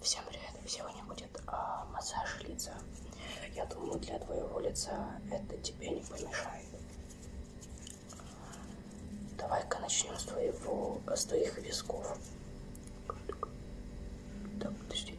Всем привет! Сегодня будет а, массаж лица. Я думаю, для твоего лица это тебе не помешает. Давай-ка начнем с твоего, с твоих висков. Так, подожди.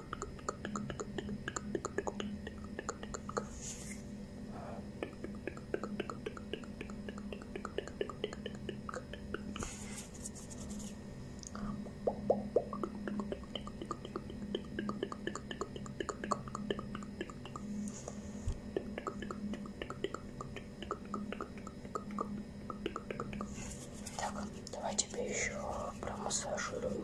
Так, давай тебе еще промассажируем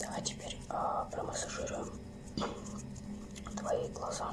Давай теперь э, промассажируем твои глаза.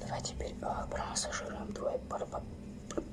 Давай теперь а, промассажируем твой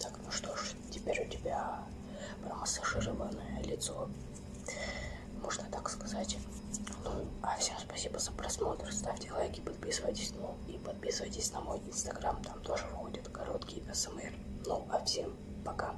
Так, ну что ж, теперь у тебя массажированное лицо, можно так сказать. Ну, а всем спасибо за просмотр, ставьте лайки, подписывайтесь, ну и подписывайтесь на мой инстаграм, там тоже выходят короткие СМР. Эм ну, а всем пока.